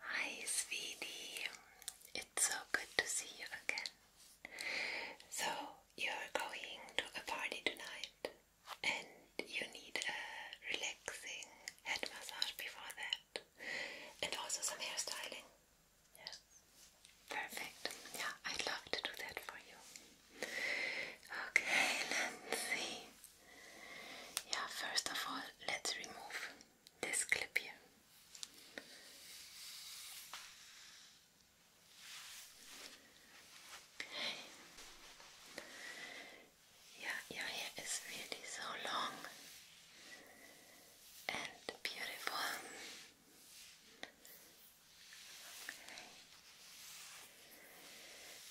Hi, sweetie. It's so good to see you again. So, you're going to a party tonight and you need a relaxing head massage before that and also some hairstyling. Yes. Perfect. Yeah, I'd love to do that for you. Okay, let Yeah, first of all, let's remove this clip here. Yeah, your hair is really so long and beautiful.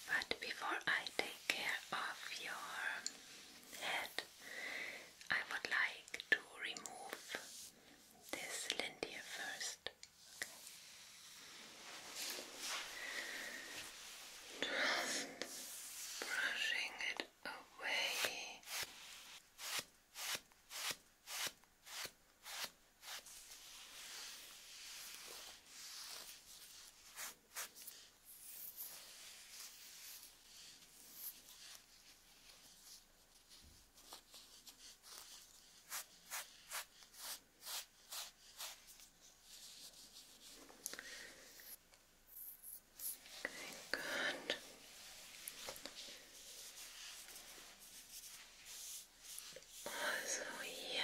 But before I take care of your head, I would like to remove this lint here first. Just brushing it away. Okay, good. Also here.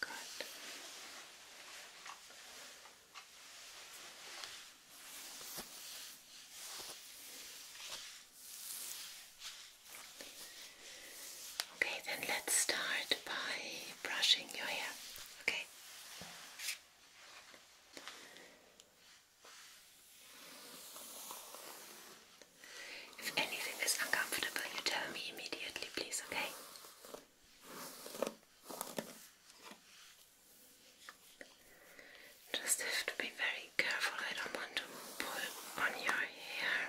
Good. Okay, then let's start by brushing your hair. Okay. If anything is uncomfortable, you tell me immediately, please, okay? Just have to be very careful, I don't want to pull on your hair.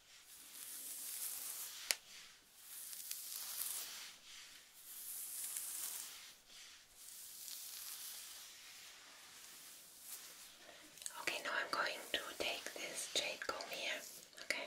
Okay, now I'm going to take this jade comb here. Okay.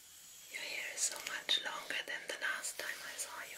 Your hair is so much longer than the last time I saw you.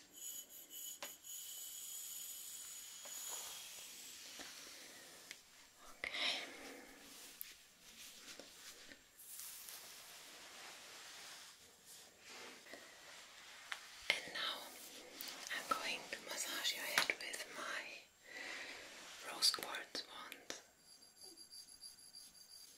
Okay. And now I'm going to massage your head with my rose quartz wand.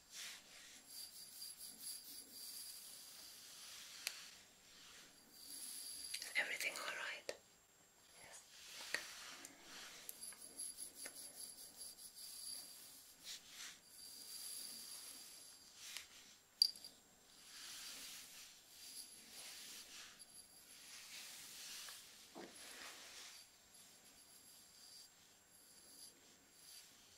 Is everything all right? Yes.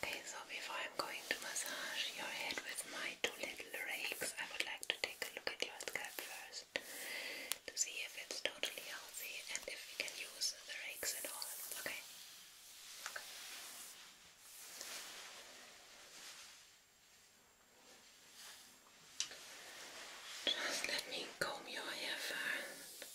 Okay, so before I'm going to massage your head with my two little rakes, I would like to take a look at your scalp first to see if it's totally healthy and if we can use the rakes at all. Okay? Just let me comb your hair first.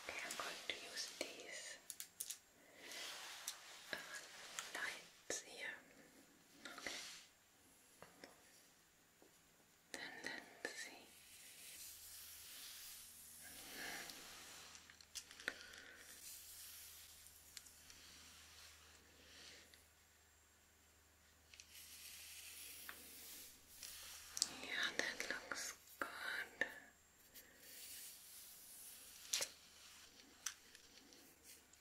Okay, I'm going to use these uh, lights here Okay. Tendency. Yeah, that looks good.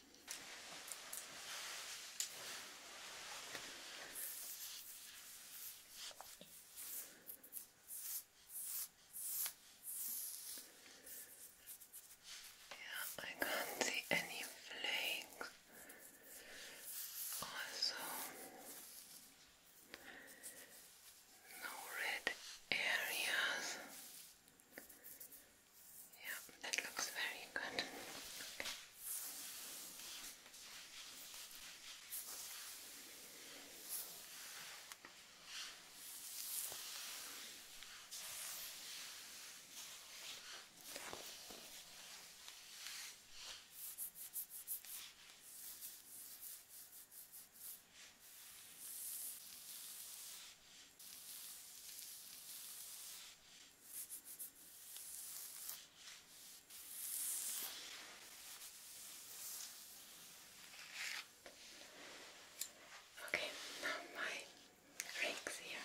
Yeah, I can't see any flakes. Also, no red areas. Yeah, that looks very good. Okay, now my rings here,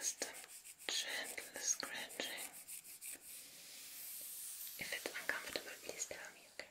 Just gentle scratching if it's uncomfortable, please tell me, okay?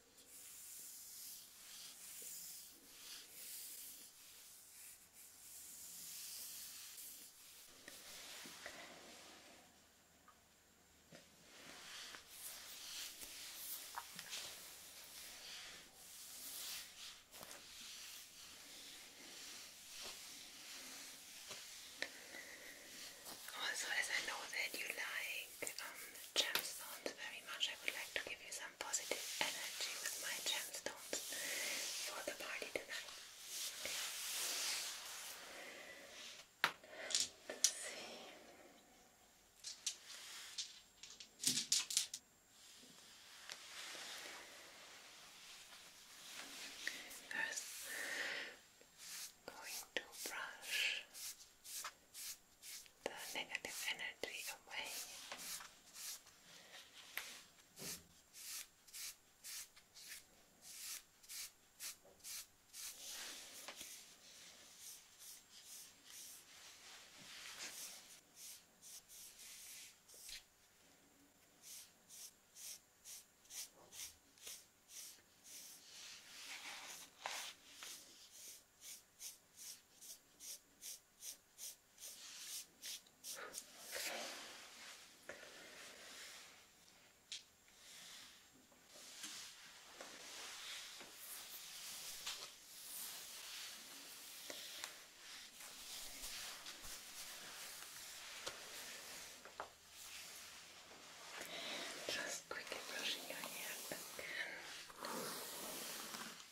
Oh, also, I know that you like um, gemstones very much. I would like to give you some positive energy with my gemstones for the party tonight. First, going to brush the negative energy away. Just quickly brushing your hair back.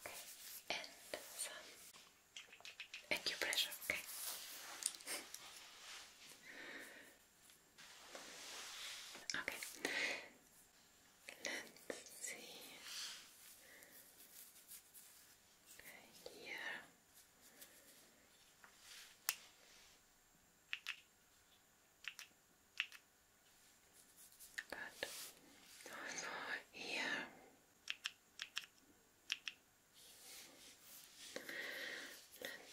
Okay, and some acupressure, okay? okay, let's see. here. Good. Also here.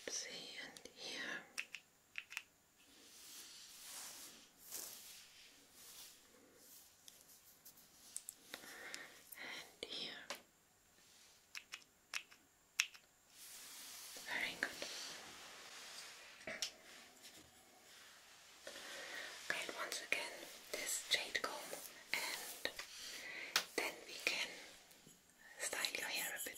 and here. And here. Very good. Okay, once again, this jade comb, and then we can style your hair a bit.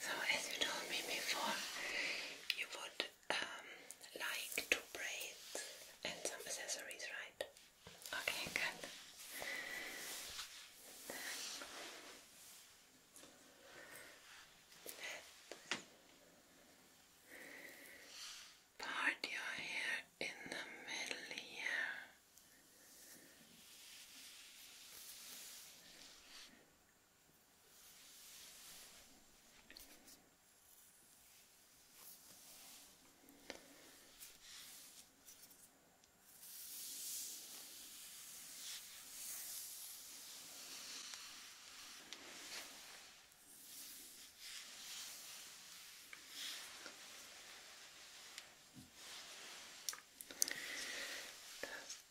So as you told me before, you would um, like to braid and some accessories, right? Okay, good. part your hair in the middle here. That's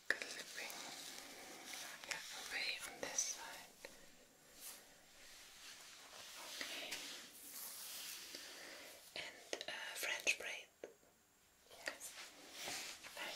clipping. away on this side. Okay. And uh, French braid. Yes. Very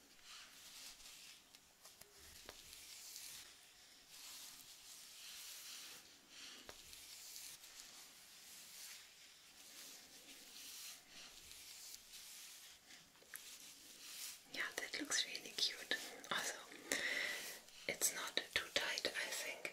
Yeah, that looks really cute. Also, it's not too tight, I think.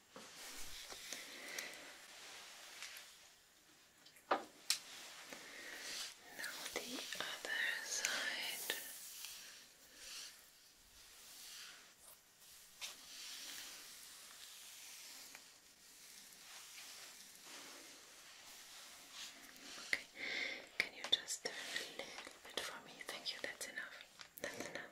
Now the other side. Okay, can you just turn a little bit for me? Thank you, that's enough. That's enough.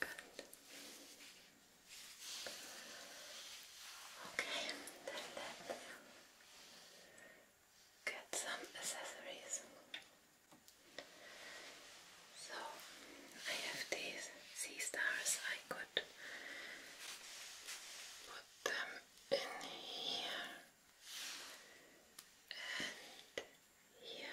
Good. Okay, let's get some accessories. So I have these sea stars. I could put them in here and here.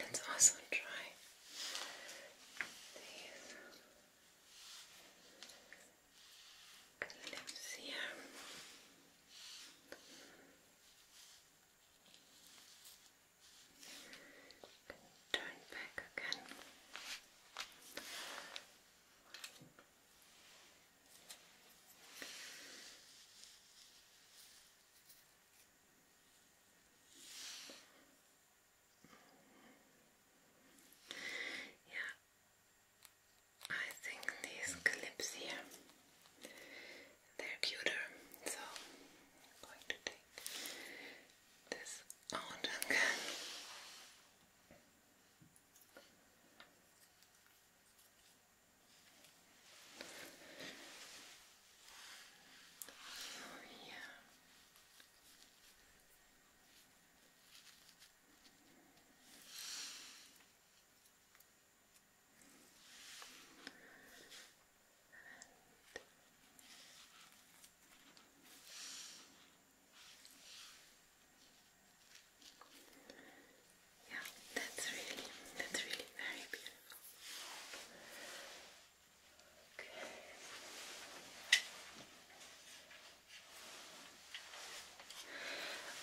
let's also try these. Okay, let me see here. Turn back again. Okay. Yeah, I think these clips here they're cuter, so I'm going to take this out again. Oh, yeah, yeah, that's really, that's really very beautiful.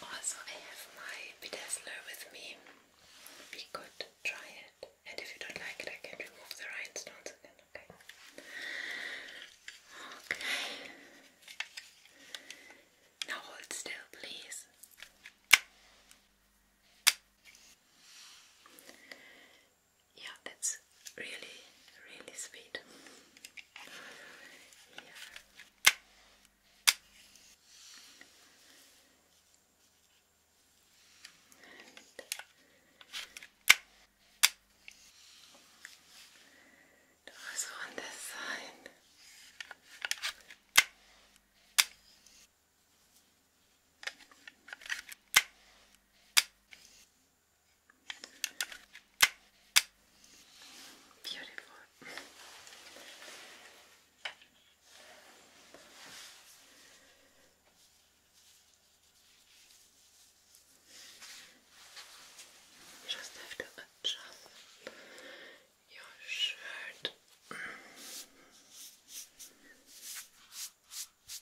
Also, I have my bedazzler with me. We could try it, and if you don't like it, I can remove the rhinestones again. Okay. Okay. Now hold still, please yeah, that's really, really sweet. Yeah. on this side. Beautiful. You just have to adjust your shirt.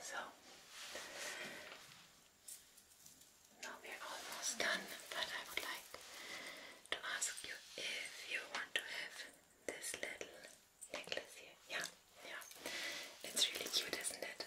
So now we are almost done, but I would like to ask you if you want to have this little necklace here. Yeah, yeah. It's really cute, isn't it?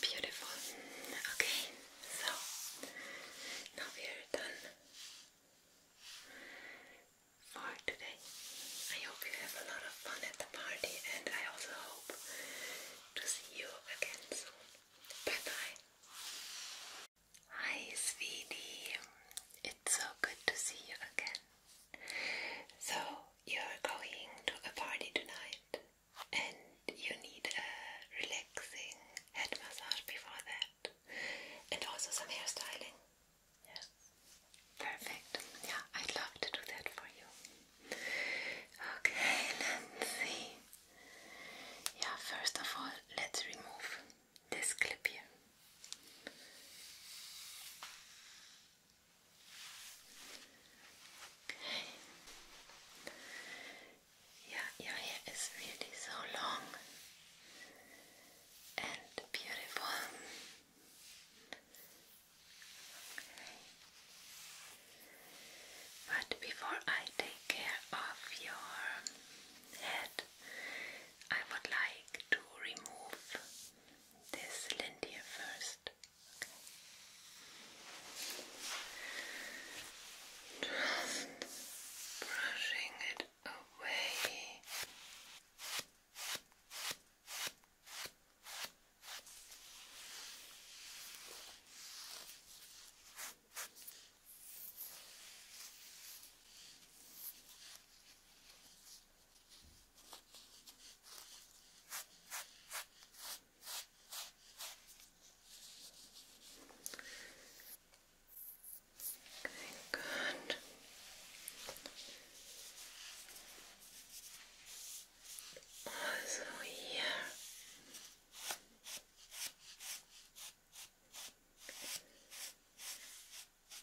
Beautiful. Okay, so now we are done for today. I hope you have a lot of fun at the party, and I also hope to see you again soon. Bye bye. Hi, sweetie. It's so good to see you again. So you're going to a party tonight and you need a relaxing head massage before that and also some hairstyling. Yes. Perfect. Yeah, I'd love to do that for you. Okay, let Yeah, first of all, let's remove this clip here. Okay. your hair is really so long and beautiful. But before I take care of your head, I would like to remove this lint first wrist. Okay. Just brushing it away. Okay, good. Also here.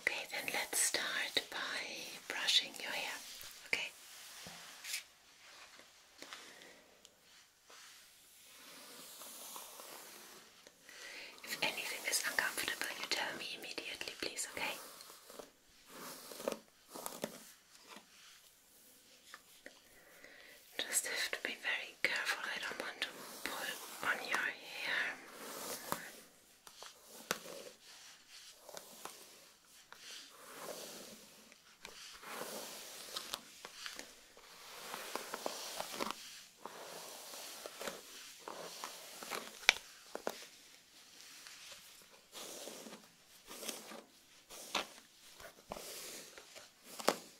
Okay, then let's start by brushing your hair. Okay. If anything is uncomfortable, you tell me immediately, please, okay? Just have to be very careful, I don't want to pull on your hair.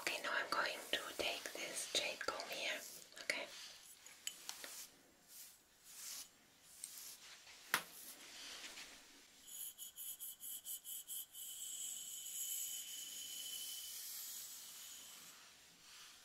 Okay, now I'm going to take this jade comb here. Okay.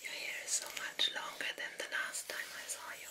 Your hair is so much longer than the last time I saw you.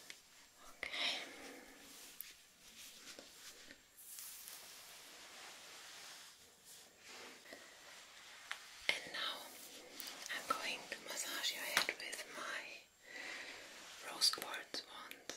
Okay. And now I'm going to massage your head with my rose quartz wand.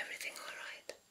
Everything all right?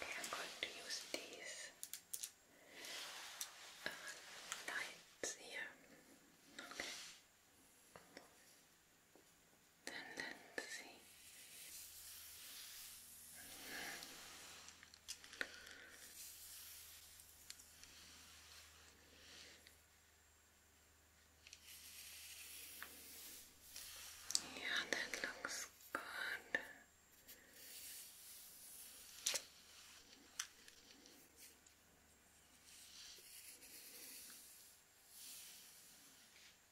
Okay, I'm going to use these uh, lights here tendency yeah that looks good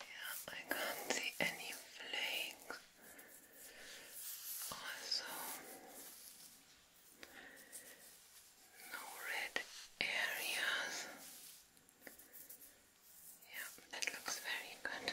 Yeah, I can't see any flakes. Also, no red areas. Yeah, that looks very good.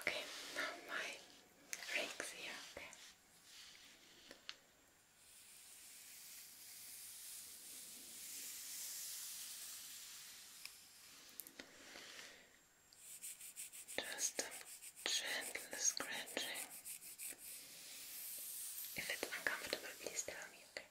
Okay, now my rings here, okay. Just a gentle scratching. If it's uncomfortable, please tell me, okay?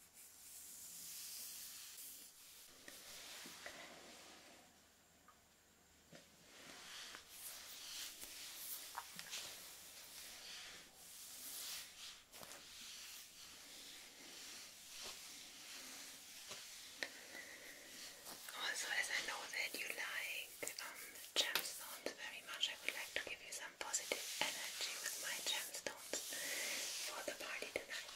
Oh, also, as I know that you like um, gemstones very much, I would like to give you some positive energy with my gemstones for the party tonight.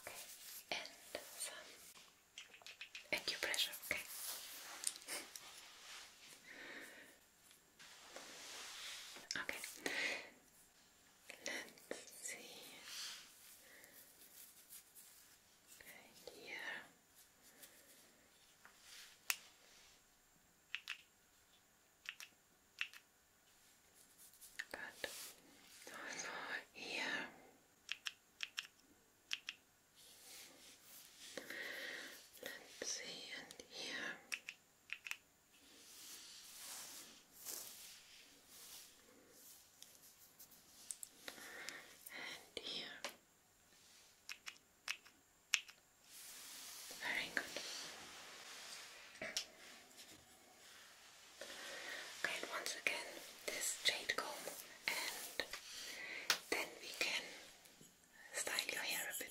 Okay, and some acupressure, okay? okay, let's see. here. Good. Also here. Let's see, and here. And here. Very good. Okay, and once again, this jade comb, and then we can style your hair a bit.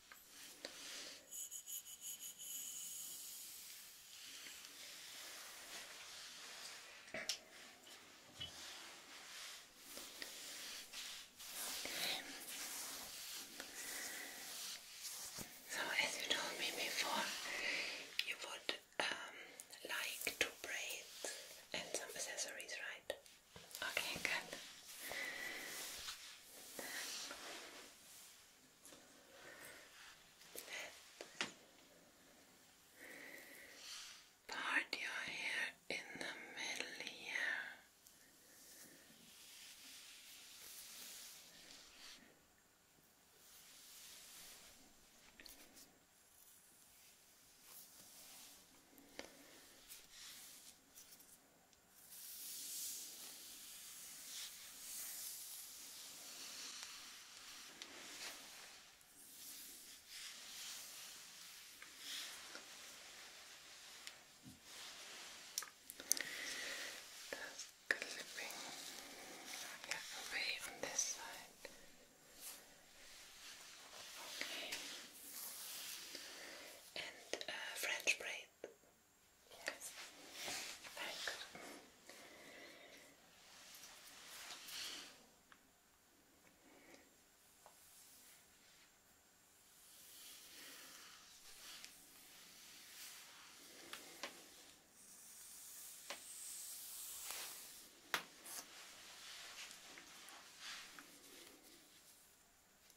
Okay. So, as you told me before, you would um, like to braid and some accessories, right? Okay, good. part your hair in the middle here. That's clipping yeah, away on this side. Okay and uh, French braid. Yes. Very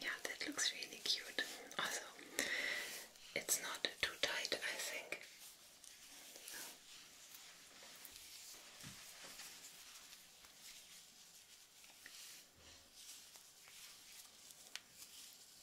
Yeah, that looks really cute. Also, it's not too tight, I think.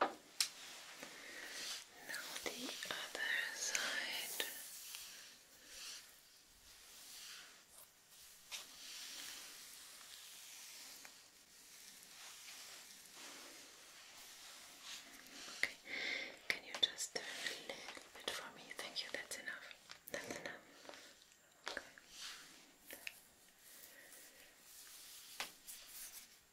Now the other side. Okay, can you just a little bit for me? Thank you, that's enough. That's enough.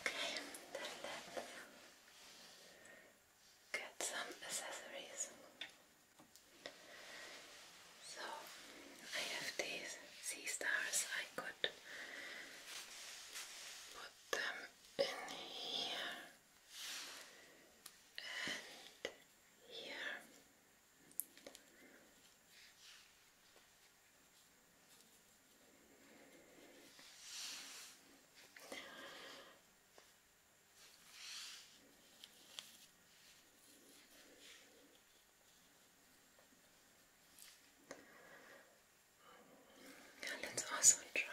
Okay, let's get some accessories. So I have these sea stars. I could put them in here and here. And let's also try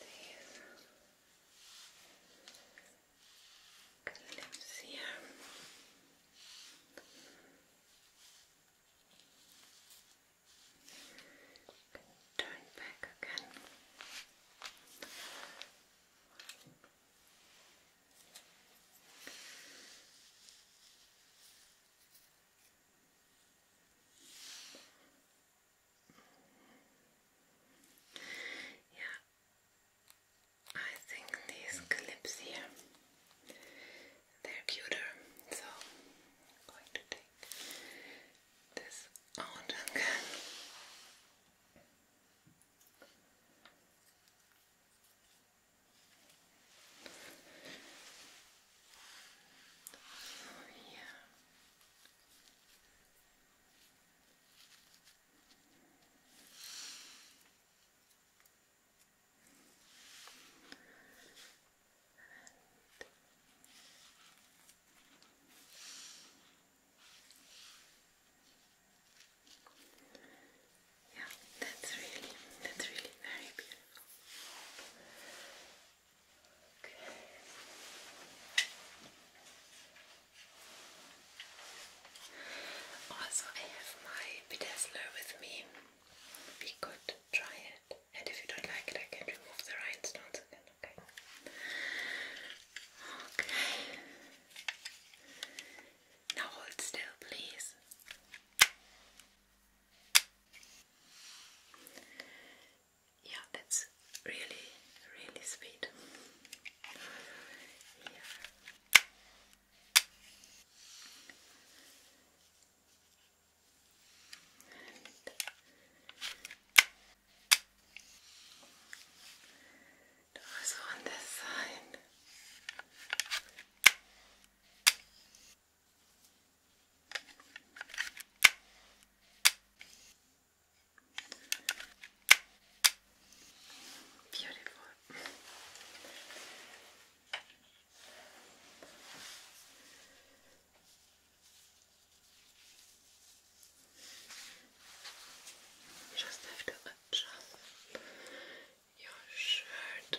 these. Okay, let Turn back again. Yeah, I think these clips here they're cuter, so I'm going to take this out again. So here. And yeah, that's really, that's really very beautiful. Okay. Also, I have my bedazzler with me. We could try it, and if you don't like it, I can remove the rhinestones again. Okay. Okay. Now hold still, please. Yeah, that's really, really sweet. Yeah. And also on this side. Beautiful. Just have to adjust your shirt.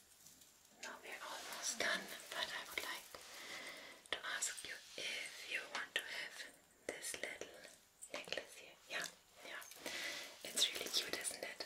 Now we're almost done, but I would like to ask you if you want to have this little necklace here. Yeah, yeah. It's really cute, isn't it?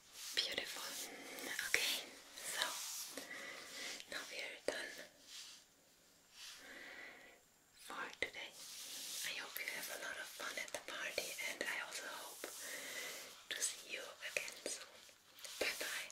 Beautiful. Okay, so now we are done for today. I hope you have a lot of fun at the party, and I also hope to see you again soon. Bye bye.